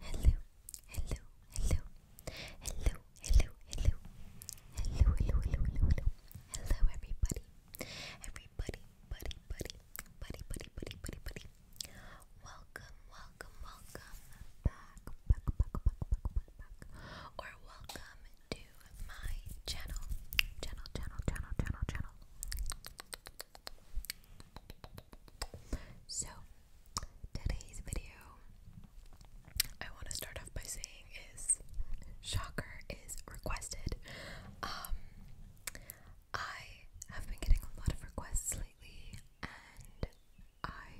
Hello, hello, hello, hello, hello, hello, hello, hello, hello, hello, hello, everybody, everybody, buddy, buddy, buddy, buddy, buddy, buddy, buddy. Welcome, welcome, welcome back, back, back, back, back, back, back, or welcome to my channel, channel, channel, channel, channel, channel. So, today's video I want to start off by saying is shocker is requested. Um I have been getting a lot of requests lately and I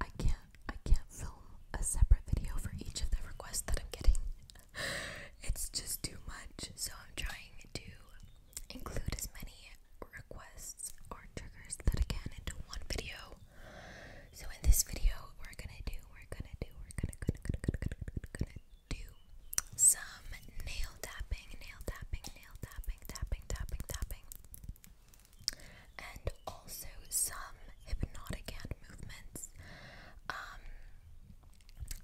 I can't I can't film a separate video for each of the requests that I'm getting. it's just too much. So I'm trying to include as many requests or triggers that I can into one video. So in this video, we're gonna do, we're gonna do, we're gonna, gonna, gonna, gonna do some nail tapping, nail tapping, nail tapping, tapping, tapping, tapping, and also some hypnotic hand movements. Um,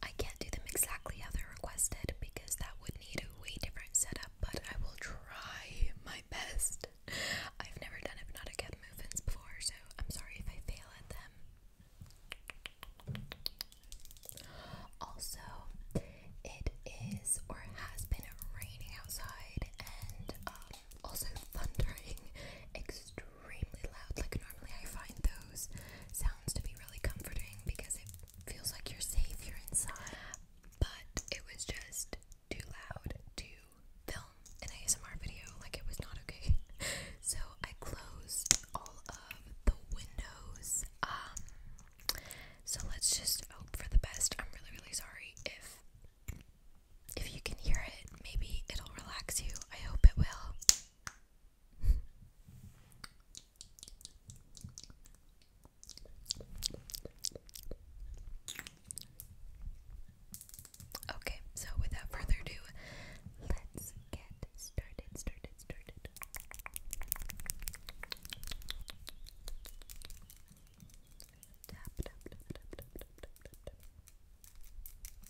I can't do them exactly how they're requested because that would need a way different setup, but I will try my best. I've never done hypnotic head movements before, so I'm sorry if I fail at them. Also, it is or has been raining outside and um, also thundering extremely loud. Like, normally I find those sounds to be really comforting because it feels like you're safe, you inside. But it was just too loud to film an ASMR video, like it was not okay. So I closed all of the windows. Um, so let's just hope for the best. I'm really really sorry if if you can hear it, maybe it'll relax you. I hope it will. Okay, so without further ado, let's get started, started, started.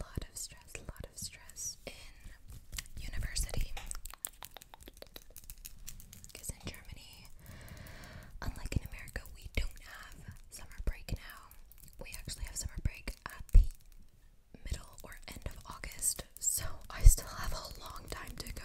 lot of stress, a lot of stress in university. Because in Germany, unlike in America, we don't have summer break now. We actually have summer break at the middle or end of August, so I still have a long time to go.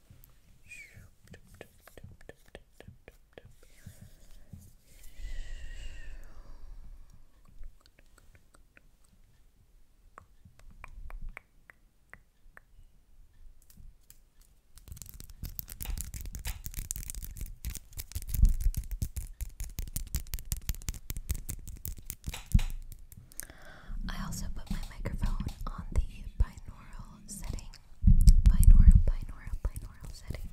I also put my microphone on the binaural setting, binaural, binaural, binaural setting,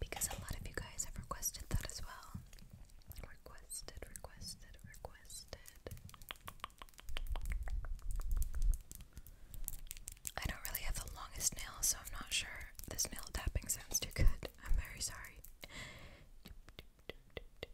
because a lot of you guys have requested that as well. Requested, requested, requested. I don't really have the longest nail, so I'm not sure this nail tapping sounds too good. I'm very sorry.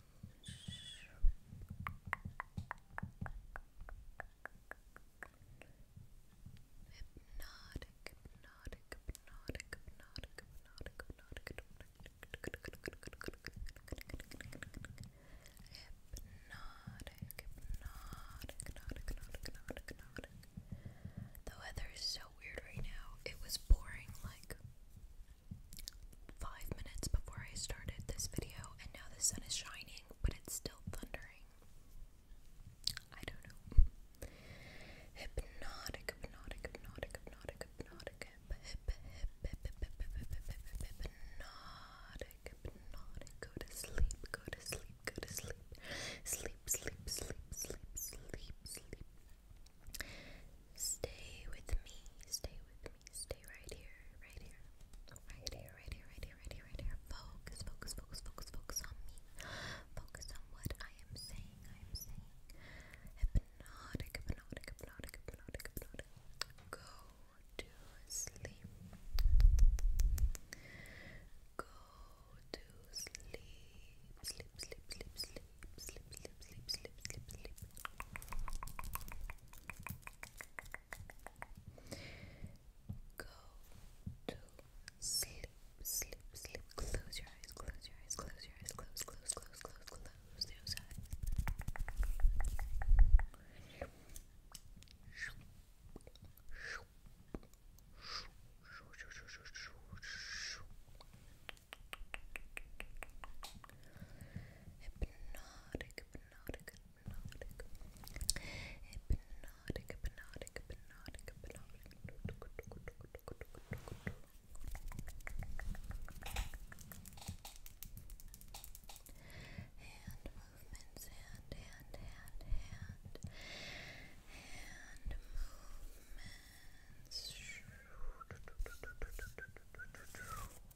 Hypnotic, hypnotic, hypnotic, hypnotic, hypnotic, hypnotic, hypnotic, hypnotic, The weather is so weird right now. It was pouring like five minutes before I started this video, and now the sun is shining, but it's still thundering. I don't know. Hypnotic, hypnotic, hypnotic, hypnotic, hypnotic, hypnotic, hypnotic. Go to sleep, go to sleep, go to sleep. Sleep, sleep, sleep, sleep, sleep, Stay with me, stay with stay right here, right here, right here, right here, right here, right here, right here. Focus, focus, focus, focus, focus on me. Focus on what I am saying. I am saying hypnotic, hypnotic, hypnotic, hypnotic, hypnotic. Go to sleep. Go to sleep. Sleep, sleep, sleep, sleep, sleep, sleep, sleep, sleep, sleep, sleep. Go to sleep, sleep, sleep. Close your eyes, close your eyes, close your eyes, close, close, close, close, close those eyes. Hypnotic, hypnotic, hypnotic. Hypnotic, hypnotic, hypnotic, hypnotic. Hand movements, hand, hand, hand, hand. Hand movements.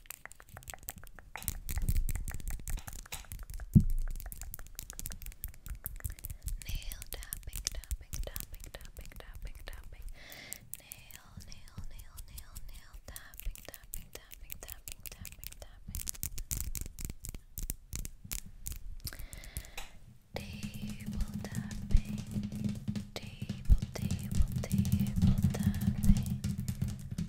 Nail tapping, tapping, tapping, tapping, tapping, tapping. Nail, nail, nail, nail, nail. Tapping, tapping, tapping, tapping, tapping, Table tapping. Table, table, table tapping. Table,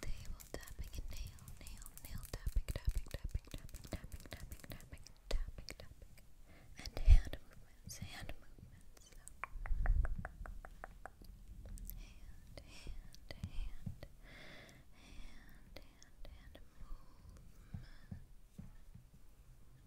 table, tapping and nail, nail, nail, tapping, tapping, tapping, tapping, tapping, tapping, tapping, tapping, and hand movements, hand movements. Hand, hand, hand, hand, hand, hand movement.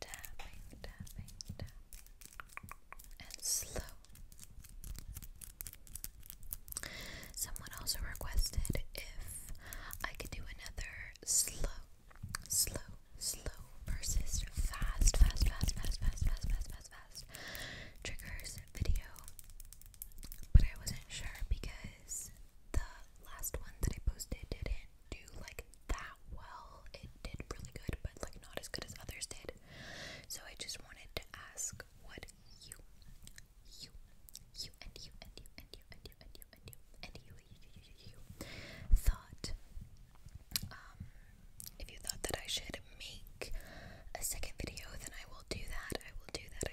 tapping, tapping, tapping, and slow. Someone also requested if I could do another slow, slow, slow versus fast, fast, fast, fast, fast, fast, fast, fast, fast triggers video, but I wasn't sure because the last one that I posted didn't do like that well. It did really good, but like not as good as others did. So I just wanted to ask what you, you, you, and you, and you, and you, and you, and you, and you, and you, thought. Um, if you thought that I should make a second video, then I will do that. I will do that.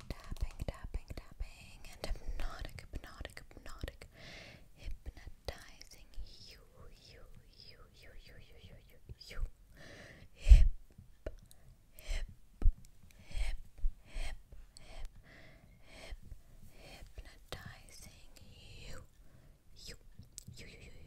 tapping, tapping, tapping, and hypnotic, hypnotic, hypnotic, hypnotizing you, you, you, you, you, you, you, you, you, hip, hip, hip, hip, hip, hip, hypnotizing you, you, you, you, you, you.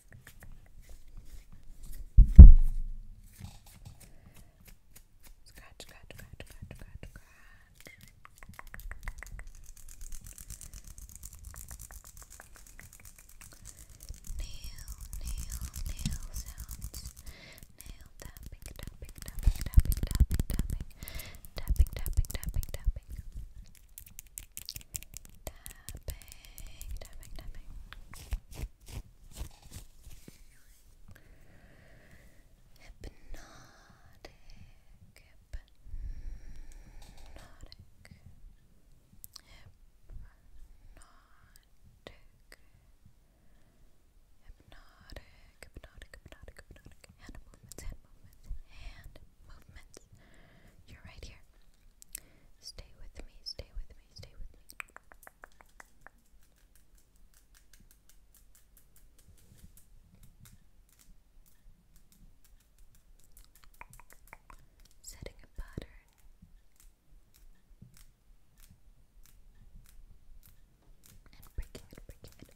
Scratch, scratch, scratch, scratch, scratch, scratch. Nail, nail, nail sounds. Nail tapping, tapping, tapping, tapping, tapping, tapping, tapping, tapping, tapping, tapping tapping, tapping, tapping. Hypnotic, hypnotic, hypnotic, hypnotic, hypnotic, hypnotic, hypnotic. Hand movements, hand movements, hand movements. You're right here. Stay with me, stay with me, stay with me. Setting a pattern. And breaking it, breaking it.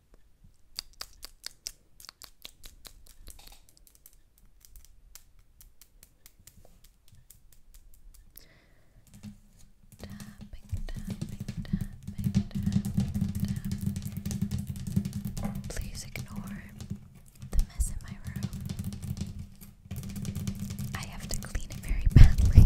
Tapping, tapping, Please ignore the mess in my room. I have to clean it very badly.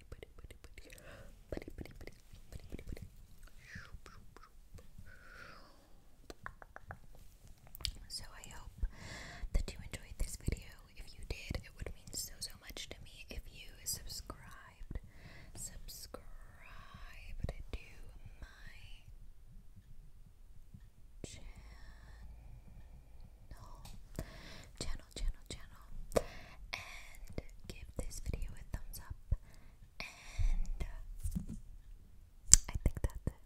So I hope that you enjoyed this video. If you did, it would mean so so much to me if you subscribed. Subscribe to my Channel, channel, channel, and give this video a thumbs up. And uh, I think that's it.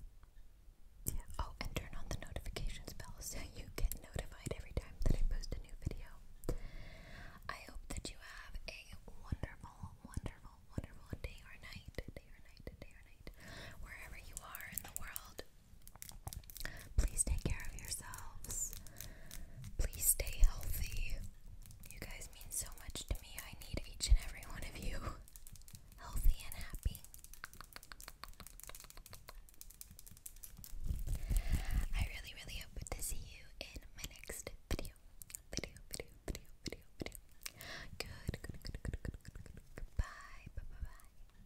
Yeah. Oh, and turn on the notifications bell so you get notified every time that I post a new video. I hope that you have a wonderful, wonderful, wonderful day or night, day or night, day or night, wherever you are in the world. Please take care of yourselves. Please stay healthy. You guys mean so much to me. I need each and every one of you healthy and happy. I really, really hope to see you in my next video. Video, video, video, video, video. Good, good, good, good, good, good, good. Bye, bye, bye, bye.